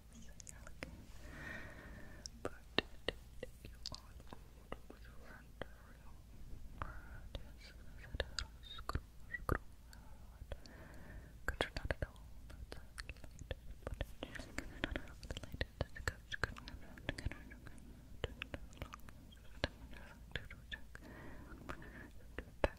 circles that you're looking for you on over your front room just scroll, scroll because you're not at all outside but just not out the light that's a good scrolling around again and again to the long to the back